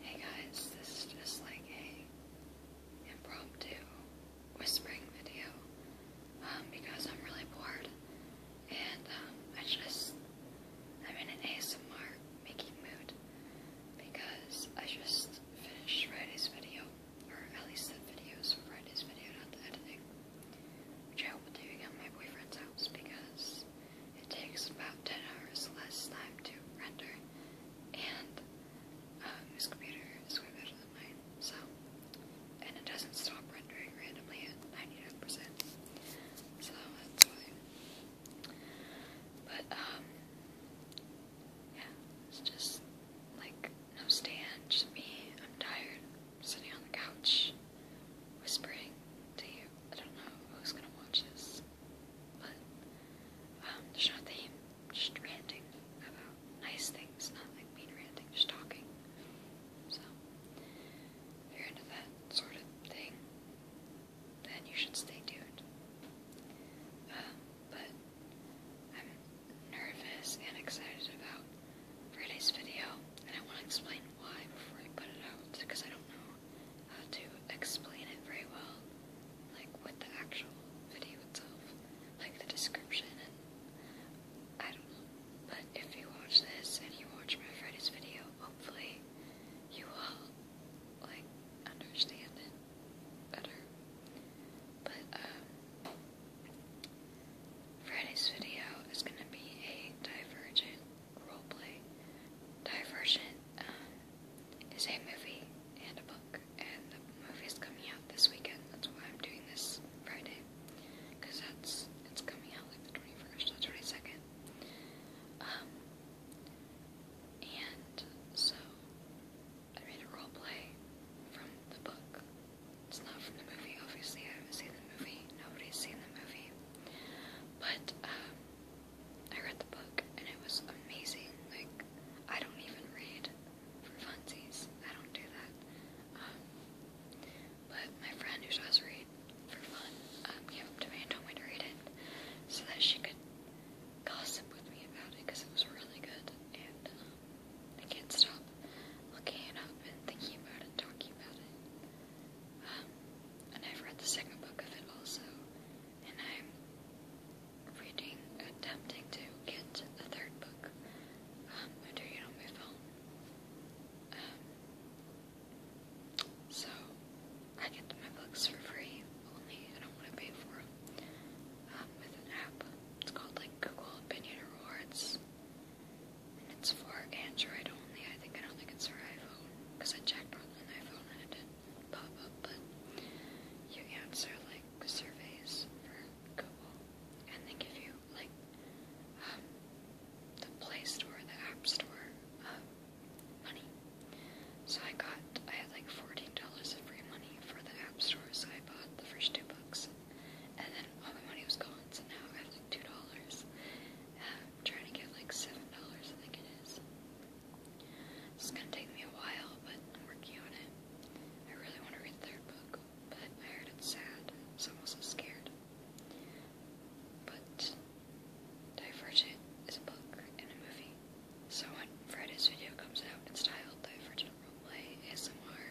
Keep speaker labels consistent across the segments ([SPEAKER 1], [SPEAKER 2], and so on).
[SPEAKER 1] Hey guys, this is just like a impromptu whispering video um, because I'm really bored and um, I just, I'm in an ASMR making mood because I just finished Friday's video, or at least the videos for Friday's video, not the editing, which I will be doing at my boyfriend's house because it takes about 10 hours less time to render, and um, this computer is way better than mine, so. And it doesn't stop rendering randomly at 99%, so that's why. But, um, yeah, it's just like no stand, just me. I'm tired, sitting on the couch whispering to you. I don't know who's gonna watch this, but um, there's no theme, just ranting about nice things, not like mean ranting, just talking. So, if you're into that sort of thing, then you should stay tuned. Um, but I'm nervous and excited about Friday's video, and I want to explain why before I put it out because I don't know how to explain it very well, like with the actual video itself, like the description and I don't know. But if you watch this and you watch my Friday's video, hopefully you will like understand it better. But um Friday's video is gonna be a divergent roleplay. Divergent um, is a movie and a book, and the movie is coming out this weekend. That's why I'm doing this Friday, because that's it's coming out like the 21st or the 22nd. Um, and so I made a roleplay from the book. It's not from the movie, obviously. I haven't seen the movie. Nobody's seen the movie. But um, I read the book and it was amazing. Like I don't even read for funsies. I don't do that. Um, but my friend who does read for fun um, gave it to me and told me to read it so that she could gossip with me about it because it was really good and um, I can't stop looking it up and thinking about it, talking about it. Um, and I've read the second book of it also, and I'm reading, attempting to get the third book. Um, I do it on my phone. Um, so I get my books for free, only I don't want to pay for them. Um, with an app, it's called like Google Opinion Awards. It's for Android only, I think. I don't think it's for iPhone, because I checked on an iPhone and it didn't pop up, but you answer, like, surveys for Google, and they give you, like, um, the Play Store, the App Store, um, money. So I got, I had, like, $14 of free money for the App Store, so I bought the first two books, and then all my money was gone, so now I have, like, $2. I'm trying to get like $7, I think it is. It's gonna take me a while, but I'm working on it. I really want to read the book, but I heard it's sad, so I'm also scared. But Divergent is a book and a movie. So when Friday's video comes out, it's titled Divergent Roleplay ASMR.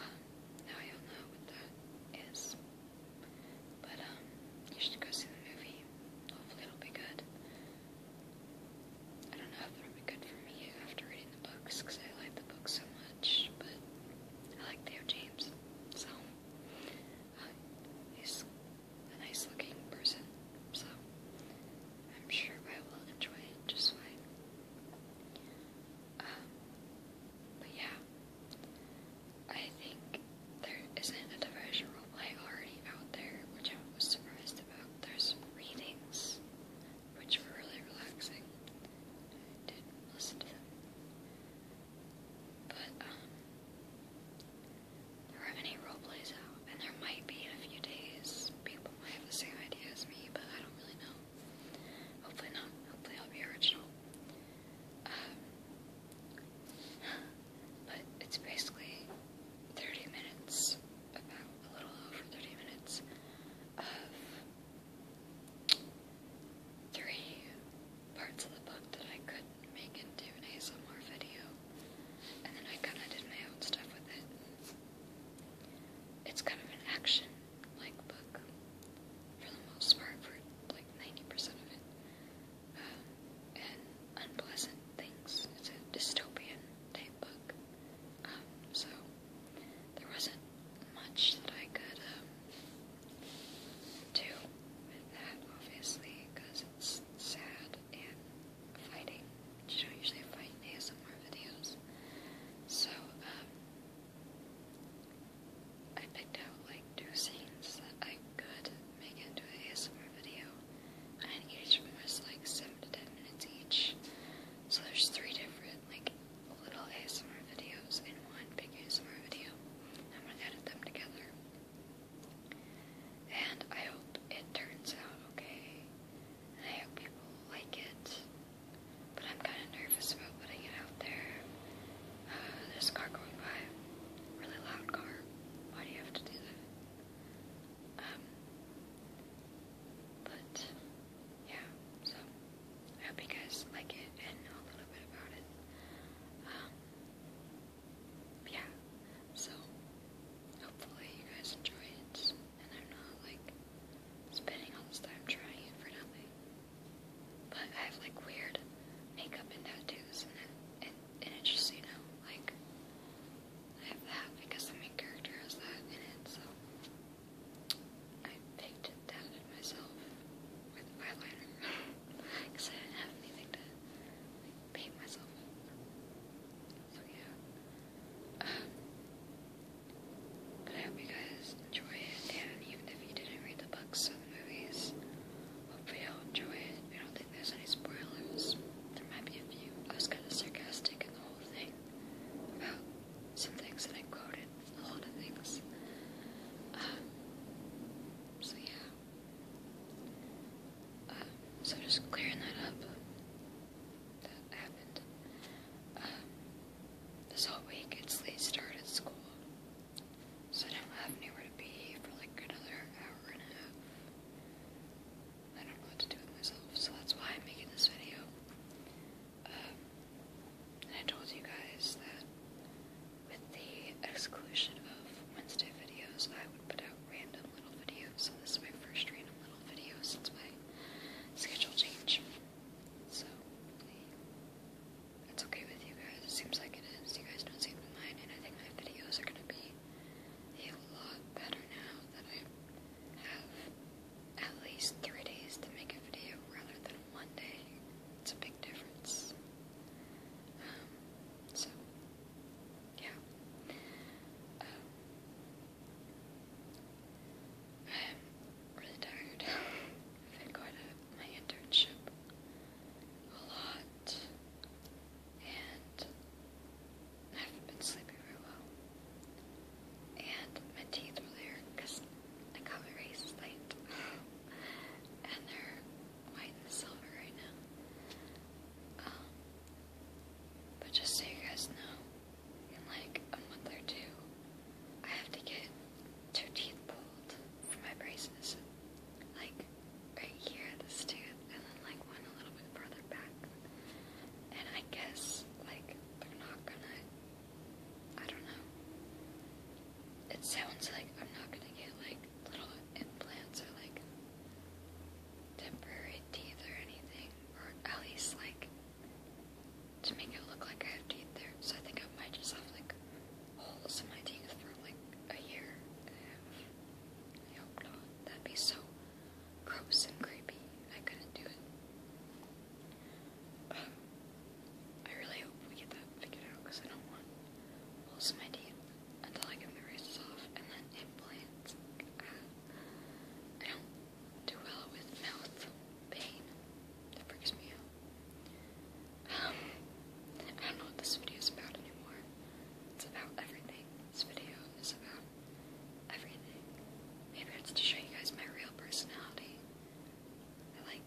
[SPEAKER 1] Um, now you'll know what that is. But, um, you should go see the movie. Hopefully it'll be good. I don't know if it'll be good for me after reading the books, because I like the books so much, but I like Theo James, so, uh, he's a nice looking person, so I'm sure I will enjoy it just fine. Um, but yeah, I think there isn't a diversion roleplay already out there, which I was surprised about. There's readings, which were really relaxing. I did listen to them. But, um, there aren't any roleplays out, and there might be in a few days. People might have the same idea as me, but I don't really know. Hopefully not. Hopefully I'll be original. Um, but it's basically 30 minutes, about a little over 30 minutes, of three parts of the book that I could make into an ASMR video. And then I kind of did my own stuff with it. It's kind of an action like book for the most part, for like 90% of it. Um, and Unpleasant Things. It's a dystopian type book. Um, so there wasn't much that I could um, do with that, obviously, because it's sad and fighting, which you don't usually fight in ASMR videos. So, um, I picked out like two scenes that I could make into an ASMR video, and each one was like 7 to 10 minutes each. So there's three different like little ASMR videos in one big ASMR video. I'm gonna edit them together. And I hope it turns out okay. And I hope people like it. But I'm kind of nervous about putting it out there. Uh, there's a car going by. Really loud car. Why do you have to do that? Um, but, yeah, so I hope you guys like it and know a little bit about it. Um, yeah, so hopefully you guys enjoy it and I'm not like spending all this time trying for nothing. But I have like weird makeup and tattoos and it, and, and it just, you know, like, I have that because the main character has that in it, so I picked it, tatted myself with eyeliner because I didn't have anything to paint myself. So yeah. Um, I hope you guys enjoy it, and even if you didn't read the books or the movies, hopefully you'll enjoy it. I don't think there's any spoilers. There might be a few. I was kind of sarcastic in the whole thing about some things that I quoted, a lot of things. Um, so yeah. Um, so just clearing that up that happened. Um, this whole week it's late start at school, so I don't have anywhere to be for like another hour and a half. I don't know what to do with myself, so that's why I'm making this video. Um, and I told you guys that with the exclusion of Wednesday videos, I would put out random little videos. So this is my first random little video since my schedule changed. So, it's okay with you guys. It seems like it is. You guys don't seem to mind, and I think my videos are gonna be a lot better now that I have at least three days to make a video rather than one day. It's a big difference. Um, so, yeah. Um, I'm really tired. I've been going to my internship a lot, and I have been sleeping very well. And my teeth really hurt because I got my braces late, and they're white and silver right now. Um, but just so you guys know, in like a month or two, I have to get two teeth pulled for my braces. Like right here, this tooth, and then like one a little bit further back. And I guess like they're not gonna. I don't know. It sounds like I'm not gonna get like little implants or like temporary teeth or anything, or at least like to make it look like I have teeth there. So I think I might just have like holes in my teeth for like a year I hope not. That'd be so gross and creepy. I couldn't do it. Um, I really hope we get that figured out because I don't want holes in my teeth until I get my braces off and then implants. I don't do well with mouth pain. That freaks me out. Um, I don't know what this video is about anymore. It's about everything. This video is about everything. Maybe it's to show you guys my real personality. I like,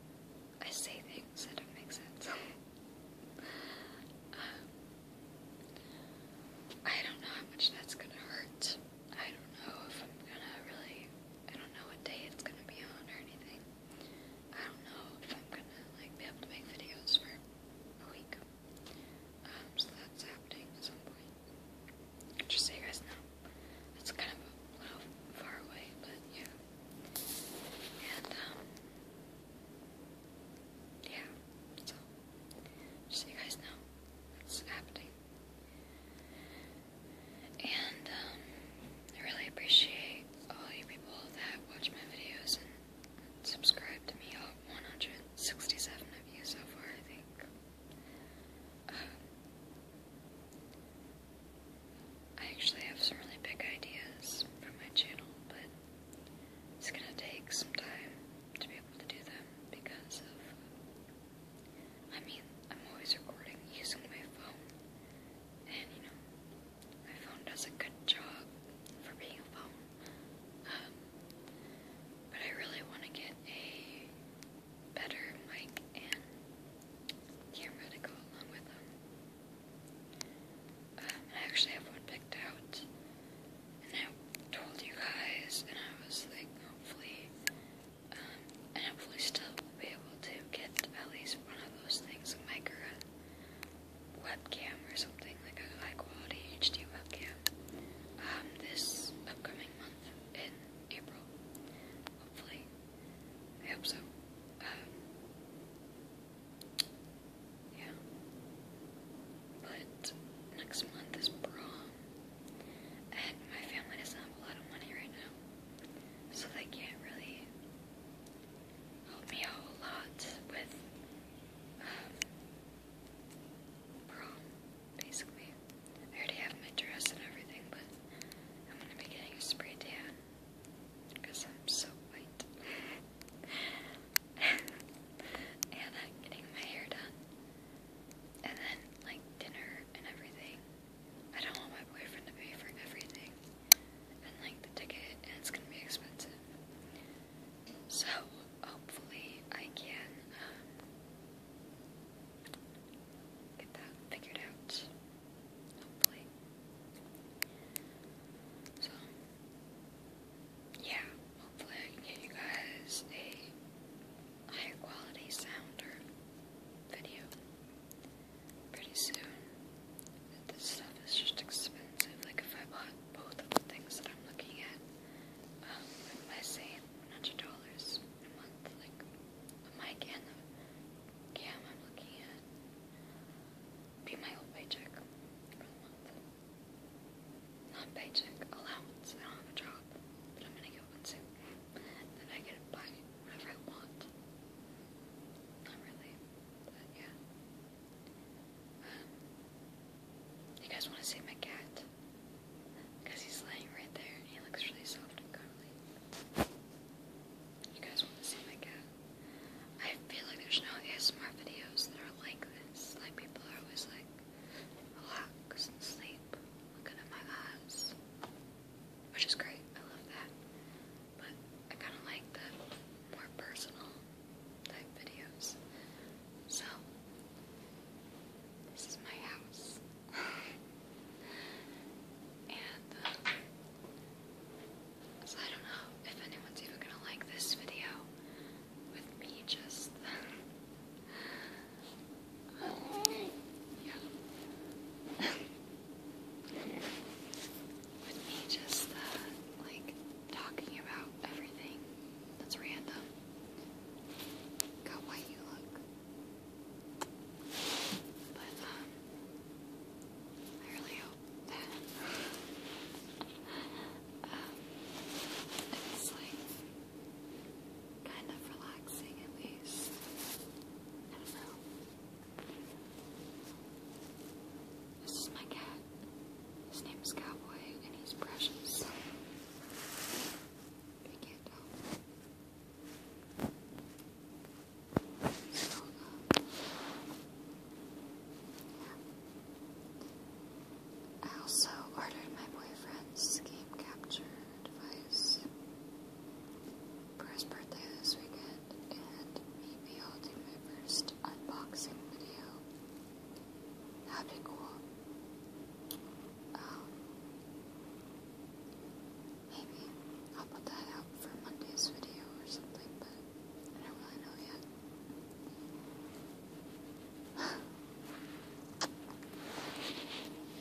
[SPEAKER 1] I say things that don't make sense. Um, I don't know how much that's gonna hurt. I don't know if I'm gonna really, I don't know what day it's gonna be on or anything. I don't know if I'm gonna like be able to make videos for a week. Um, so that's happening at some point. Just so you guys know, it's kind of a little far away, but yeah. And um, yeah. So just so you guys know, it's happening. And um, I really appreciate all you people that watch my videos and subscribe to me. All 167 of you so far, I think. Um, I actually have some really big ideas for my channel, but it's gonna take some time to be able to do them because of I mean, I'm always recording using my phone, and you know, my phone does a good job for being a phone. Um, but I really want to get a better mic and camera to go along with them. Um, I actually have one picked out and I told you guys, and I was like, hopefully, um, and hopefully still will be able to get at least one of those things, like a webcam or something, like a high quality HD webcam, um, this upcoming month in April, hopefully, I hope so, um, yeah, but next month is prom, and my family doesn't have a lot of money right now, so they can't really help me out a lot with um, prom, basically. I already have my dress and everything, but I'm gonna be getting a spray tan because I'm so white. and getting my hair done and then like dinner and everything. I don't want my boyfriend to pay for everything, and like the ticket, and it's gonna be expensive. So hopefully I can um, get that figured out. Hopefully. So yeah, hopefully I can get you guys a higher quality sound video pretty soon. This stuff is just expensive. Like if I bought both of the things that I'm looking at, um, it might $100 a month, like the mic and the cam I'm looking at. Be my whole paycheck for the month non-paycheck allowance. I don't have a job, but I'm gonna get one soon. Then I get to buy whatever I want. Not really, but yeah. Um, you guys want to see my cat? Because he's laying right there and he looks really soft and cuddly. You guys want to see my cat? I feel like there's no ASMR videos that are like this. Like, people are always like, relax and sleep, looking at my eyes, which is great. I love that. But I kind of like the more personal type videos. So, this is my house. and, uh, so I don't know if anyone's even gonna like this video with me just yeah. with me just uh, like talking about everything that's random. God, why you look. But um I really hope that um it's like kind of relaxing at least. I don't know. This is my cat. His name is Cowboy and he's precious. I can't tell. I also ordered my boyfriend's game capture device for his birthday this weekend, and maybe I'll do my first unboxing video. Happy would be cool. Um, maybe I'll put that out for Monday's video or something, but I don't really know yet.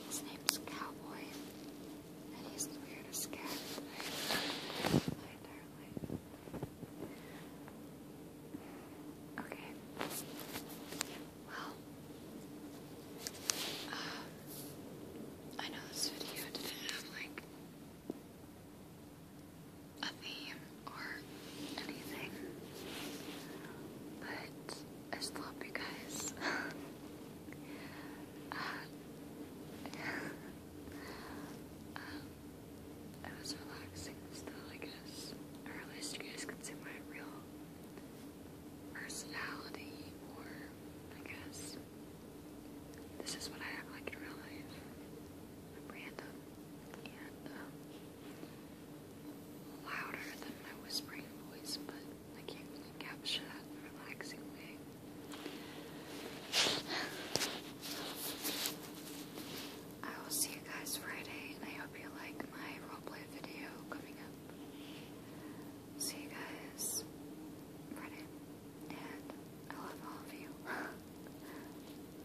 [SPEAKER 1] His name's Cowboy, and he's the weirdest cat Okay. Well, um, I know this video didn't have like a theme or anything, but I just love you guys. Uh, uh, it was relaxing still, I guess, or at least you guys could see my real personality, or I guess this is what I act like in real life. I'm random, and um, louder than my whispering voice, but I can't capture that relaxing way. I will see you guys Friday, and I hope you like my roleplay video coming up. See you guys Friday, and I love all of you.